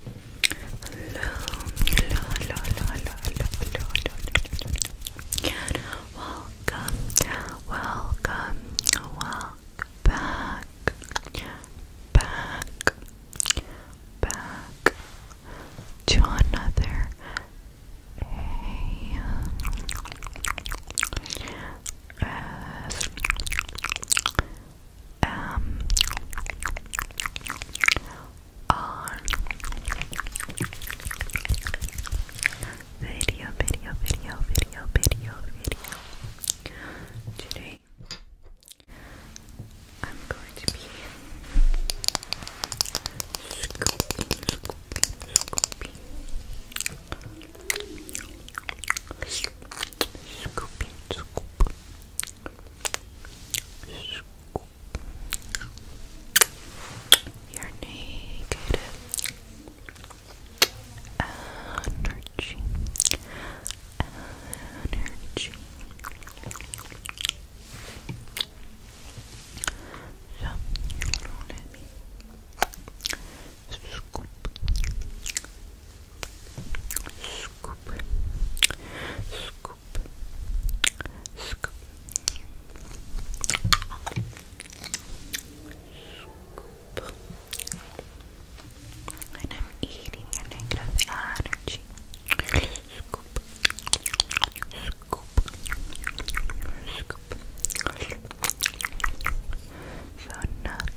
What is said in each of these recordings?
Welcome, welcome, welcome back, back, back to another day um, on video, video, video, video, video, video. Today, I'm going to be scooping, scooping, scooping. Scoop, scoop. Scoop. You're Energy. Energy. So, let me scoop, Scoop. Scoop. Scoop. Scoop. And I'm eating negative energy. Scoop. Scoop. Scoop. So nothing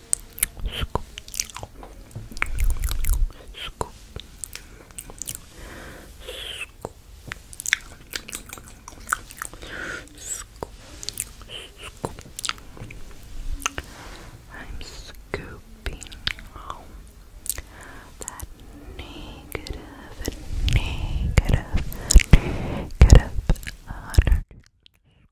scoop, scoop, scoop. Scoop, scoop. I'm scooping that negative, negative, negative energy.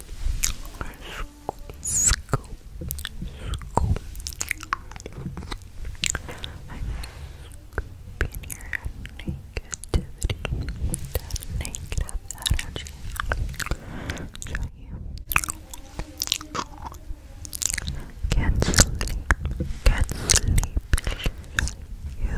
Scoop, scoop. I'm scooping your negativity, negative energy. So you can sleep, can sleep. You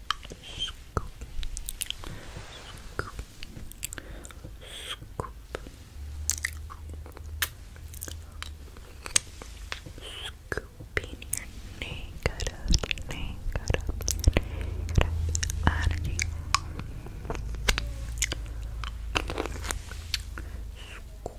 scoop, scoop, scoop, scooping your negative, negative, negative energy. Scoop. Scoop.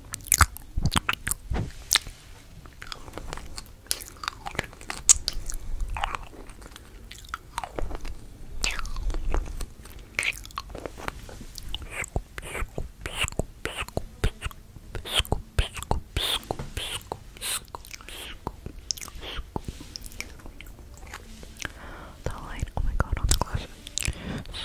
The light, oh my god, on the glass.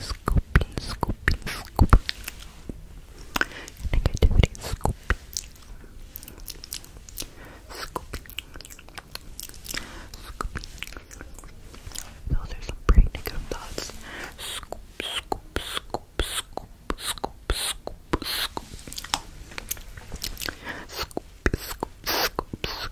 scooping, scooping, scooping. Negativity, scooping. Scooping. Scooping. Oh, Those are some pretty negative thoughts. Scoop, scoop, scoop, scoop, scoop, scoop, scoop. Scoop, scoop, scoop, scoop,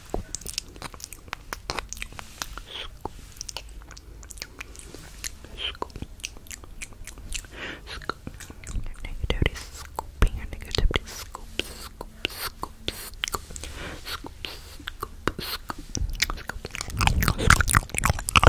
Scoop. Scoop. Scoop. Your negativity scooping your negativity scoop scoop scoop scoop scoop scoop scoop scoop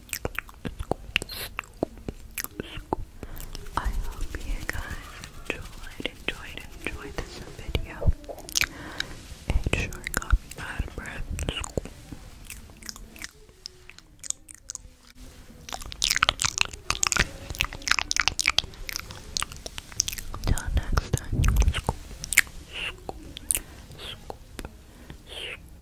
I hope you guys enjoyed, enjoyed, enjoyed this video. It sure got me breath. Till next time.